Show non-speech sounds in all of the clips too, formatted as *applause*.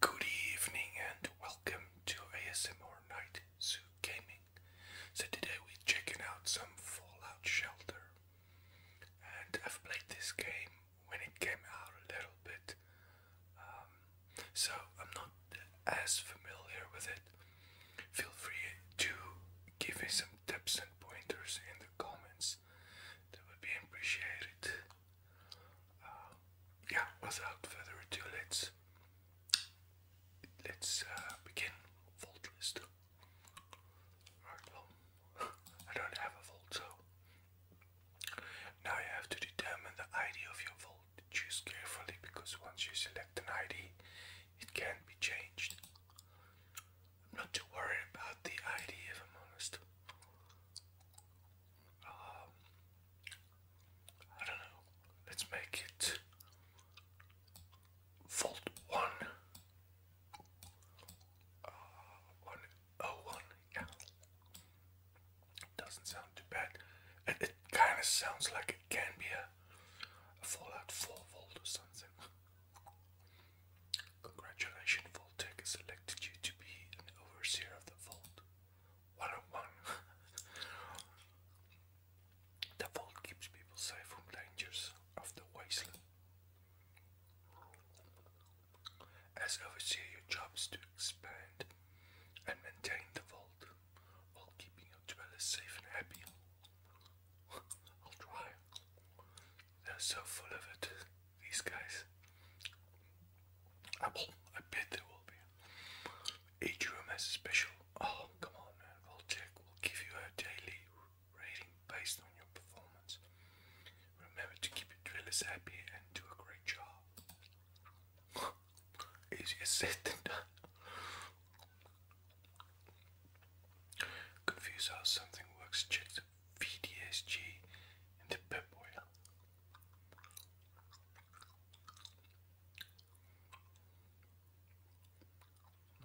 Good evening and welcome to ASMR Night Zoo Gaming. So today we're checking out some Fallout Shelter. And I've played this game when it came out a little bit. Um, so I'm not as familiar with it. Feel free to give me some tips and pointers in the comments. That would be appreciated. Um, yeah, without further ado, let's let's uh, begin vault list. Alright, well, *laughs* I don't have a vault, now you have to determine the ID of your vault. Choose carefully because once you select an ID, it can be changed. not too worried about the ID I'm honest. Um, I don't know. Let's make it Volt one. Uh, oh Doesn't sound too bad. It, kind of sounds like it can be a Fallout 4 Volt or something. Congratulations, Voltec has selected you to be an overseer of the Vault. One *laughs* the Vault keeps people safe from dangers of the wasteland. As overseer, your job is to expand and maintain the Vault while keeping your dwellers safe and happy. *laughs* I'll try. They're so full of it, these guys. I, will, I bet there will be. Each room has a special. Oh, come on, man. We'll check. We'll give you a daily rating based on your performance. Remember to keep your drillers happy and do a great job. *laughs* Easier said than done. Confuse how something works, check VDSG and the pep oil.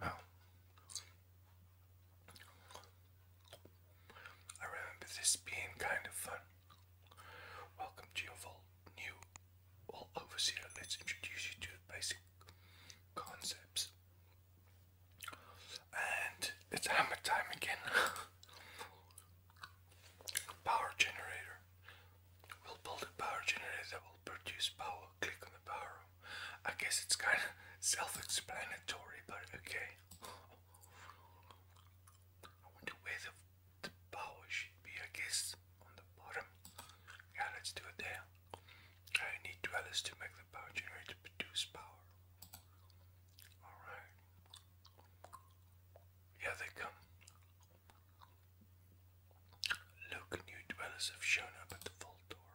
I remember this being kind of fun. Welcome to your full new all overseer. Let's introduce you to the basic concepts. And it's hammer time again. *laughs* Power generator. We'll build a power generator that will produce power. Click on the power I guess it's kind of *laughs* self-explanatory, but okay. I wonder where the power should be. I guess on the bottom. Yeah, let's do it there. I need dwellers to make the power generator produce power. Alright. Yeah, they come. Look, new dwellers have shown up at the vault door.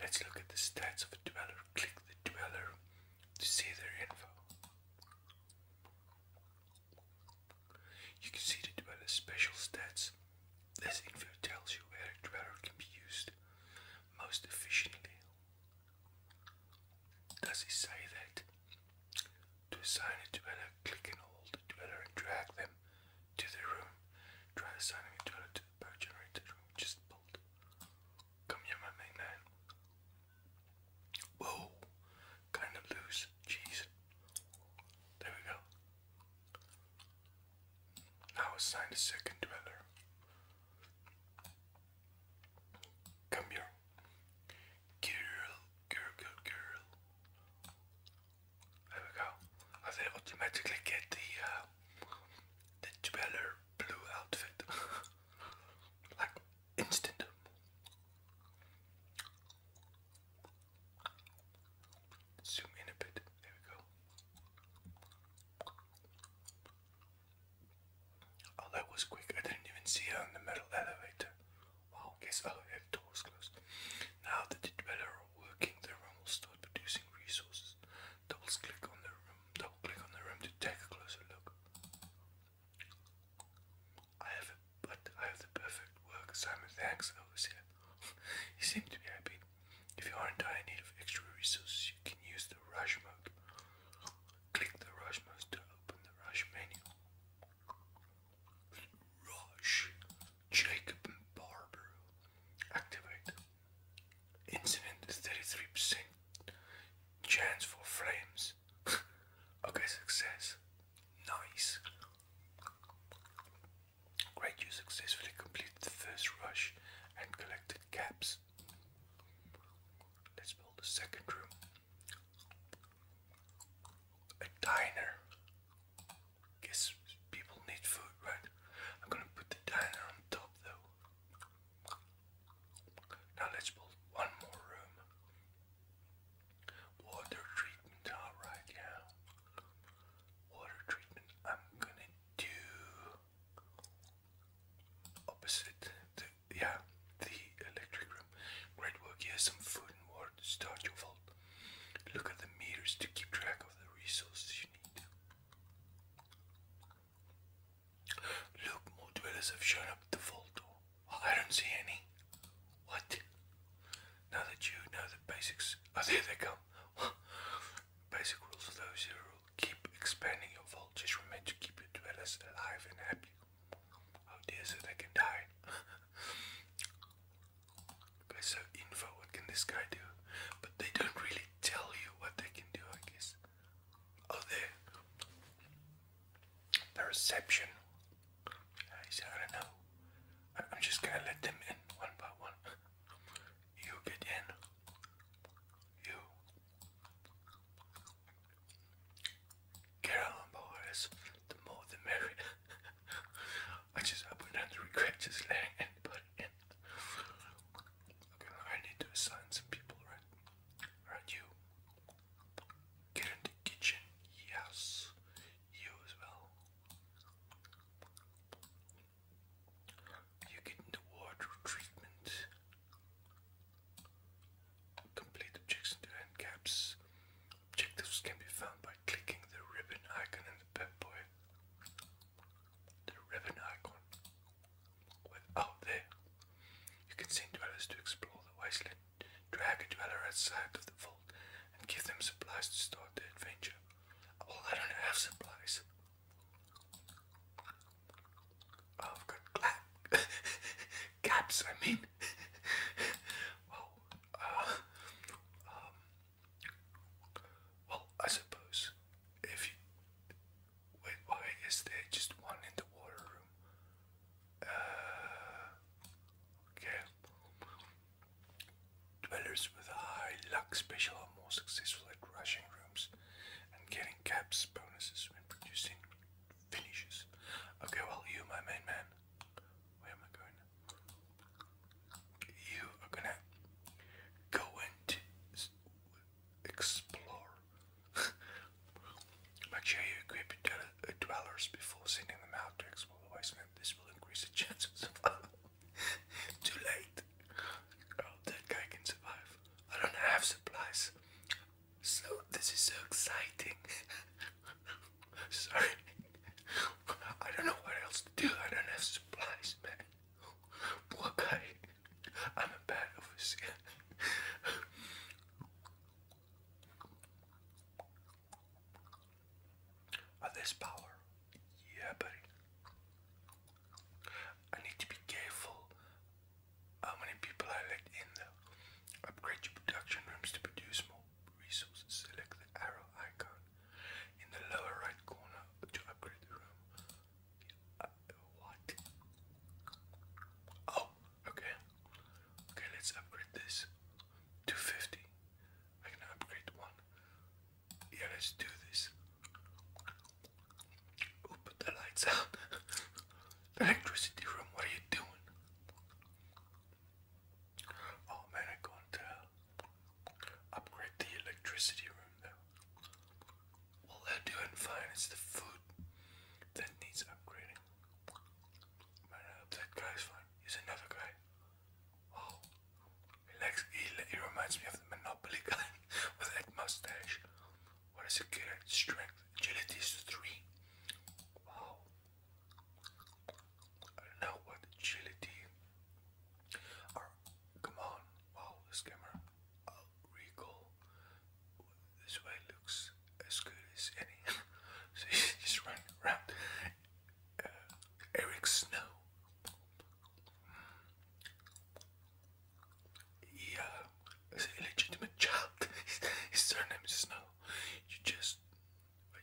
Let's look at the stats of a dweller. Click the dweller to see their info. You can see the dweller's special stats. This info tells you where a dweller can be used most efficiently does he say that to assign it to click and hold it better and drag them to the room? Try assigning it to to the power generated room just built. Come here, my main Whoa, kind of loose. Jeez. There we go. Now assign a second dweller. Come here. Girl, girl, girl, girl. There we go. I will automatically get the uh, the jeweler blue outfit. *laughs* like instant. Zoom in a bit. There we go. Oh, that was quick. I didn't even see her in the metal elevator. Wow, guess I'll doors closed. Now that the dweller are working, the room will start producing resources. Double click on the room. Double click on the room to take a closer look. I have but I have the perfect work. Simon, thanks. I was here. he seemed to be happy. If you are in dire need of extra resources, you can use the rush mode. Click the Rush mouse to open the Rush menu. Rush Jacob and Barber. Activate. Incident 33% chance for flames. *laughs* okay, success. Nice. Great, you successfully completed the first rush and collected caps. Let's build a second room. A diner. Guess people need food, right? I'm gonna put the diner on top though. Now let's build one more room. Water treatment, alright, yeah. Water treatment, I'm gonna do opposite the yeah, the electric room. Great work. Here's some food and water to start your vault. Look at the meters to keep track of the resources you need. Look, more dwellers have shown up at the vault door. Oh, I don't see any. What? Now that you know the basics. Oh, there they come. *laughs* Basic rules of those here: will keep expanding your vault. Just remember to keep your dwellers alive and happy. Oh dear, so they can die. *laughs* so info, what can this guy do? But they don't really tell you what they can do, I guess. Oh, there. The reception. I don't know. I'm just gonna let them in one by one. *laughs* you get in. You. Get on, boys. The more the merrier. I just I wouldn't have to I need to assign some people, right? Right, you. Get in the kitchen. Yes. You as well. You get in the water treatment. Complete objectives Objectives can be found by clicking the ribbon icon in the Pep Boy. The ribbon icon. Without oh, there, you can send dwellers to explore the wasteland, drag a dweller outside of the vault, and give them supplies to start their adventure. Oh, I don't have supplies. I've got clap gaps, *laughs* I mean. Uh, um, well, I suppose if wait, why is there just one in the water room? Uh, okay. Dwellers with high luck special are more successful at rushing rooms and getting caps bonuses when producing finishes. Okay, well, you, my main man, where am I going? You are gonna go and explore. *laughs* Make sure you equip uh, dwellers before sending them out to explore the This will increase the chances *laughs* Too late. Oh, that guy can survive. I don't have supplies. So this is so exciting. *laughs* Sorry. I don't know what else to do. I don't have supplies, man. Poor guy. I'm a bad officer. Are this power? Yeah, buddy. I need to be careful how many people I let in though? Upgrade your production rooms to produce more resources. Select the arrow icon in the lower right corner to upgrade the room. Uh, what? Oh, okay. Okay, let's upgrade this. 250. I can upgrade one. Yeah, let's do this. put the lights *laughs* out electricity room, what are you doing? Oh man, I'm to upgrade the electricity room now. Well, they're doing fine, it's the food that needs upgrading. Man, that guy's fine. He's another guy. Oh, he, likes, he, he reminds me of the Monopoly guy *laughs* with that mustache. What is it good at? Strength. Agility three. Wow. I don't know what agility come on. Wow, this camera. i recall. This way looks as good as any. *laughs* so he's *laughs* just running around. Uh, Eric Snow. Hmm. Yeah, as an illegitimate child. His surname is Snow. You just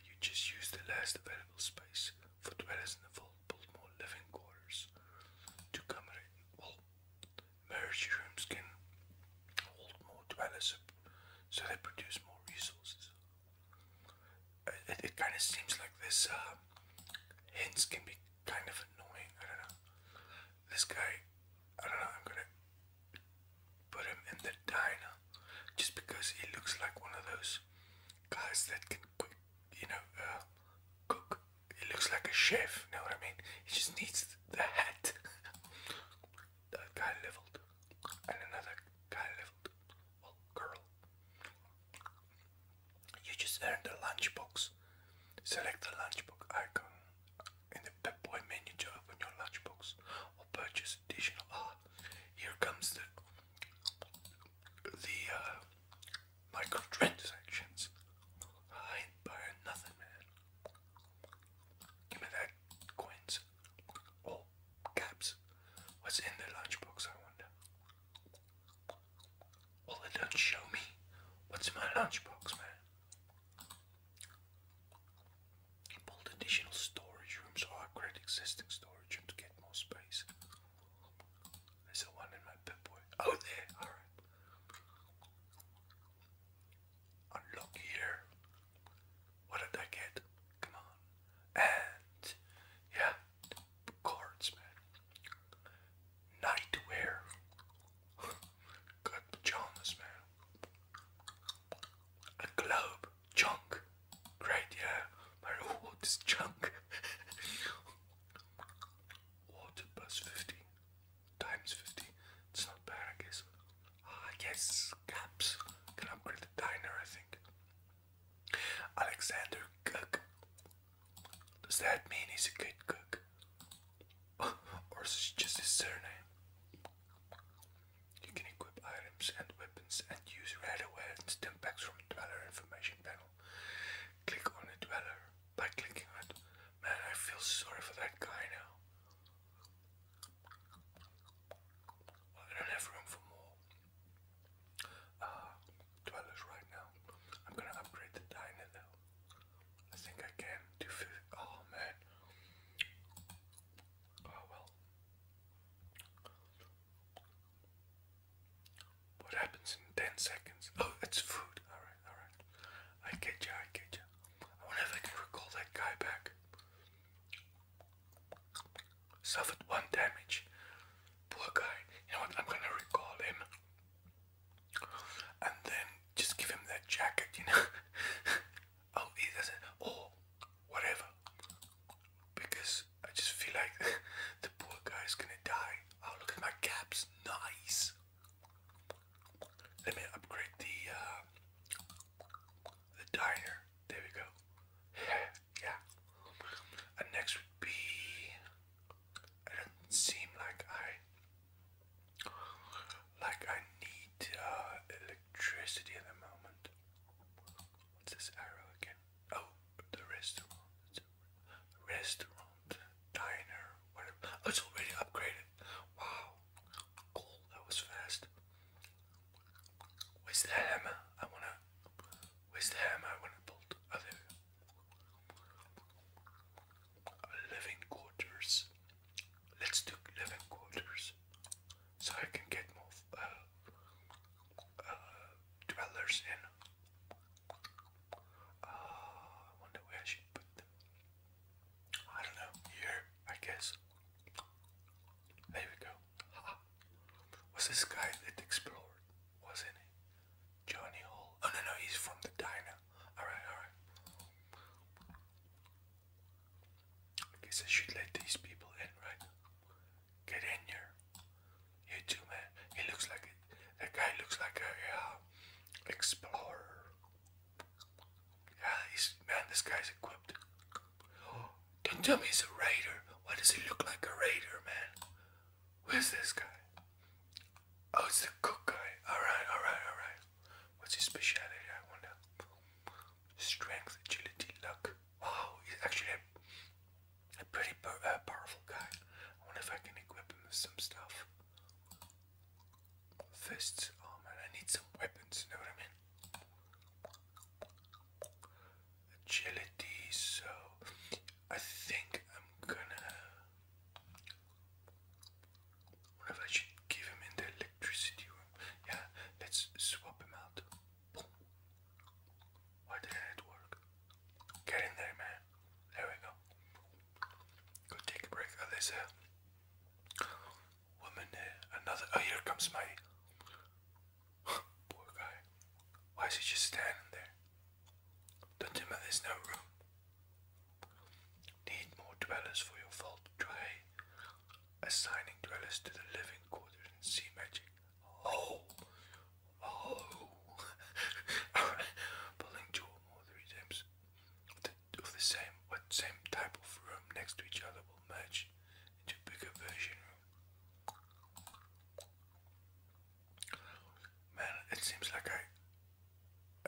you just use the last available space for dwellers in available more living quarters. To accommodate well marriage rooms can hold more dwellers so they produce more resources. It, kind of seems like this uh, hints can be kind of annoying. I don't know. This guy, I don't know, I'm gonna put him in the diner just because he looks like one of those guys that can quick, you know, uh, cook. He looks like a chef, you know what I mean? He just needs the hat. *laughs* that guy leveled, and another guy leveled. Well, girl, you just earned a lunchbox. Select the lunchbox icon in the Pep Boy menu to open your lunchbox or purchase additional. Ah, here comes the the uh, microtransactions. I ain't nothing, man. Give me that coins or caps. What's in the lunchbox? I wonder. Well, they do show me. What's in my lunchbox, man? Build additional storage rooms or upgrade existing storage room to get more space. There's a one in my pit boy. *laughs* Oh, there, alright. Unlock here. What did I get? Come on. And, yeah, cards, man. Nightwear. *laughs* Got pajamas, man. A globe. Chunk. Great, yeah. My reward is chunk. *laughs* Water plus 50. Times 50. It's not bad, I guess. Ah, yes. Caps. Can upgrade the diner, I think. Alexander Cook. Does that mean he's a good cook? *laughs* or is it just his surname? You can equip items and weapons and use red awareness impacts from Dweller information panel. Click on the Dweller by clicking on Man, I feel sorry for that guy now. I don't have room for more ah, Dwellers right now. I'm gonna upgrade the diner though. I think I can do. Oh man. Oh well. What happens in 10 seconds? *laughs* Oh, it's food. Alright, alright. I get you, I get you. I wonder if I can recall that guy back. Suffered one damage. Poor guy. You know what? I'm gonna recall him. And then just give him that jacket, you know? *laughs* oh it does oh, whatever because I just feel like *laughs* the poor guy's gonna die. Oh look at my caps, nice. Let me upgrade the uh, the diner. There we go. *sighs* yeah. And next would be. It doesn't seem like I like I need uh, electricity at the moment. What's this arrow again? Oh, the restaurant. Restaurant, diner, whatever. Oh, it's already upgraded. Wow, cool. That was fast. Where's the hammer? I wanna. Where's the hammer? I wanna build. Oh, Living quarters. Let's do 11 quarters so I can get more uh, uh, dwellers in. Uh, I wonder where I should put them. I don't know. Here, I guess. There we go. Ha. Was this guy that explored? Wasn't it Johnny Hall. Oh no, no, he's from the diner. Alright, alright. I guess I should let these people in, right? Get in here. You too, man. He looks like a. That guy looks like a uh, explorer. Yeah, he's man. This guy's equipped. Oh, *gasps* don't tell me he's a raider. Why does he look like a raider, man? Where's this guy? Oh, it's the cook guy. All right, all right, all right. What's his specialty? I wonder. Strength, agility, luck. Wow, he's actually a, pretty uh, powerful guy. I wonder if I can equip him with some stuff. Fists. man, I need some weapons, know what I mean? Agility, so I think I'm gonna. What I should give him in the electricity room? Yeah, let's swap him out. Why didn't work? Get in there, man. There we go. Go take a break. Oh, woman there. Eh, another. Oh, here comes my *gasps* poor guy. Why is he just standing there? Don't tell me there's no room. Need more dwellers for your fault. Try assigning dwellers to the living quarters in sea magic. Oh! Oh! *laughs* pulling two more three times of the, same, what same type of room next to each other will merge into bigger version room. Man, it seems like I,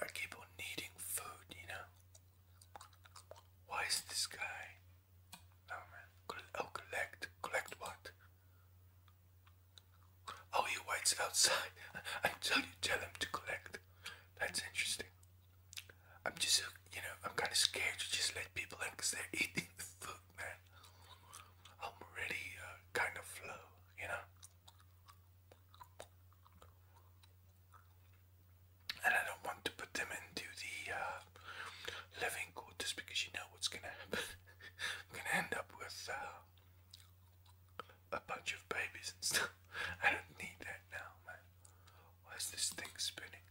I keep on needing food, you know? Why is this guy Oh man. Oh, collect. Collect what? Oh, he waits outside until *laughs* you tell him to collect. That's interesting. I'm just, uh, you know, I'm kind of scared to just let people in because they're *laughs* eating the food, man. I'm already uh, kind of low, you know and I don't want to put them into the uh, living quarters because you know what's gonna happen. *laughs* I'm gonna end up with uh, a bunch of babies and stuff. *laughs* I don't need that now, man. Why this thing spinning?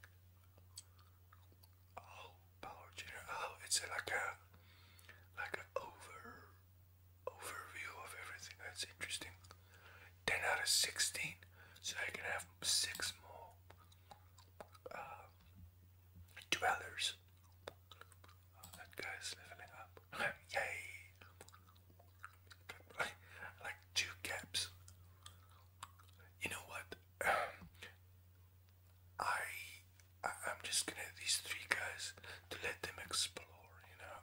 Oh, power generator. Oh, it's like a like a over overview of everything. That's interesting. Ten out of sixteen. So I can have six more uh, dwellers. that guy's leveling up. *laughs* Yay! Like, two caps. You know what? *clears throat* I I'm just gonna these three guys to let them explore. You know,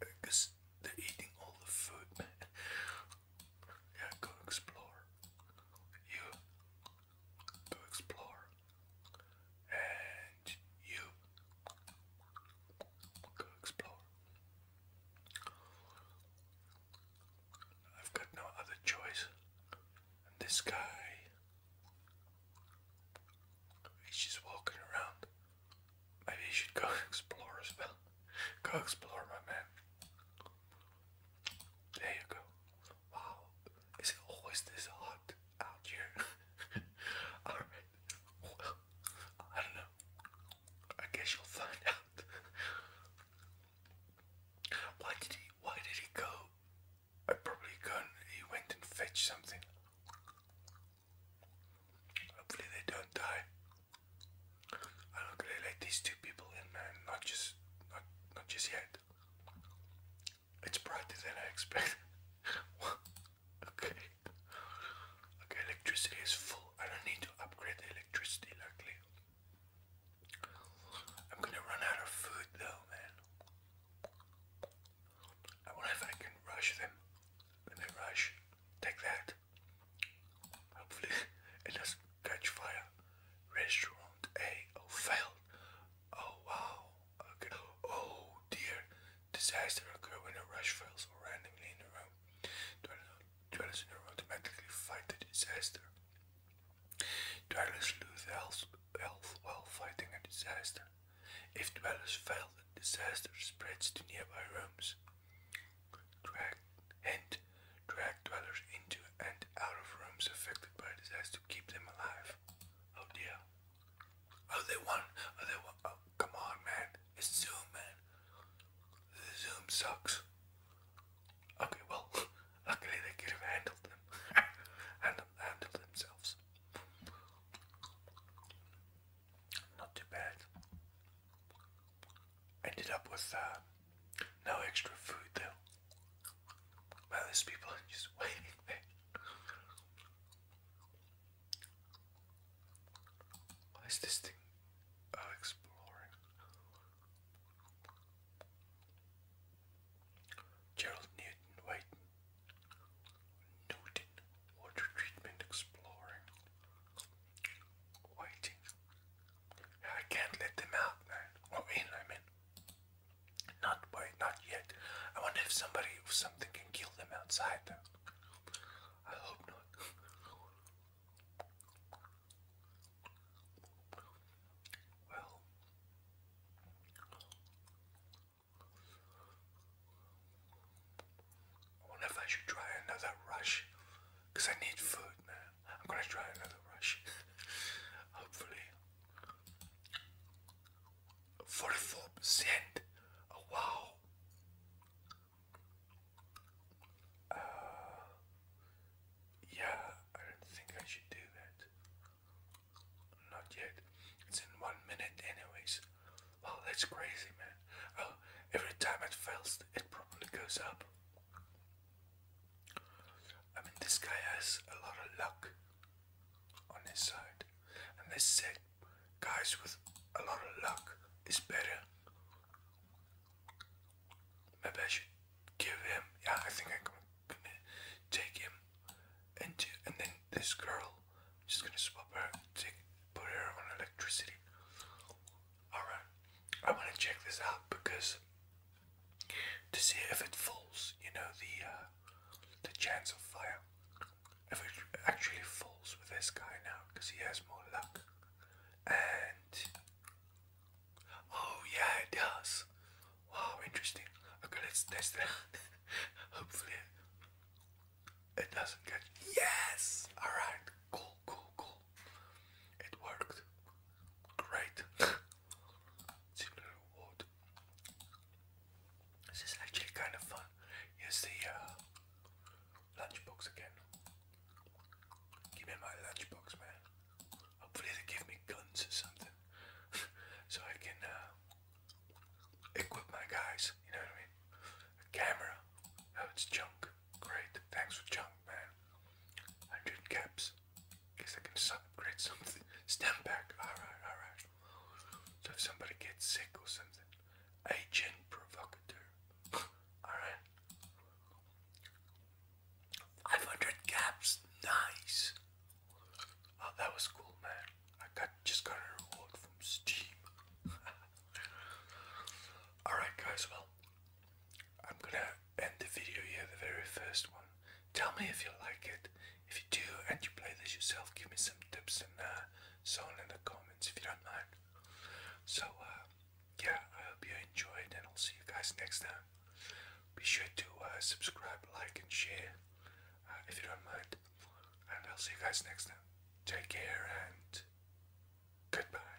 because they're eating all the food. *laughs* Yeah, go explore. You go explore. And you go explore. I've got no other choice. this guy he's just walking around. Maybe you should go *laughs* explore as well. Go explore my man. There you go. Wow, is it always this hot out here? *laughs* Alright, I don't know. I guess you'll find out. *laughs* why did he why did he go? I probably gone he went and fetched something. Hopefully they don't die. I look at it like these two people in not just not not just yet. It's brighter than I expected. *laughs* okay. Okay, electricity is full. I don't need to upgrade the electricity luckily. I'm gonna run out of food though, man. I wonder if I can rush them. Let me rush. Take that. Hopefully it doesn't catch fire. Restaurant A. Oh, failed. Oh, wow. Okay. Oh, dear. Disaster occurs when a rush fails or randomly in a room. Dwellers in a room automatically fight the disaster. Dwellers lose health, while fighting a disaster. If dwellers fail, the disaster spreads to nearby rooms drag, and drag dwellers into and out of rooms affected by disaster to keep them alive. Oh dear. Oh, they want. Oh, they want. Oh, come on, man. It's Zoom, man. The Zoom sucks. Okay, well, *laughs* luckily they could have handled them. *laughs* handled, handled themselves. Not too bad. Ended up with uh, no extra food though. Well, there's people are *laughs* just waiting there. this thing? Oh, exploring. Gerald Newton waiting. Newton water treatment exploring. Waiting. I can't let them out now. Or in, I mean. Not yet. I wonder if somebody or something can kill them outside though. I hope not. Well I wonder if I should try another rush because I need food, man. I'm going to try another rush. *laughs* Hopefully. 44%. Oh, wow. Uh, yeah, I don't think I should do that. Not yet. It's in one minute, anyways. Wow, that's crazy, man. Oh, every time it fails, it probably goes up. I mean, this guy has a lot of luck on his side, and they said guys with a lot of luck is better. Maybe I should give him. Yeah, I think I'm gonna take him into, and then this girl, I'm just gonna swap her, take, put her on electricity. Alright, I wanna check this out because to see if it falls. You know the uh, the chance of fire. If it actually falls with this guy now, because he has more luck. And oh yeah, it does. Wow, interesting. Okay, let's test it. *laughs* Hopefully, it doesn't get. Yes. All right. Cool. Cool. Cool. It worked. Great. *laughs* Similar wood. This is actually kind of fun. Here's the uh, lunchbox again. Give me my lunchbox, man. Hopefully they give me guns or something, *laughs* so I can uh, equip my guys. You know what I mean? camera. Oh, it's junk. Great. Thanks for junk, man. Hundred caps. Guess I can upgrade something. Stem back. Alright, alright. So somebody gets sick or something, agent provocateur. alright. 500 caps. Nice. Oh, that was cool, man. I got just got a reward from Steam. *laughs* alright, guys. Well, I'm gonna end the video here, the very first one. Tell me if you like it. If you do and you play this yourself, give me some tips and uh, so on in the comments if you don't mind. So, uh, yeah, I hope you enjoyed and I'll see you guys next time. Be sure to uh, subscribe, like, and share uh, if you don't mind. And I'll see you guys next time. Take care and goodbye.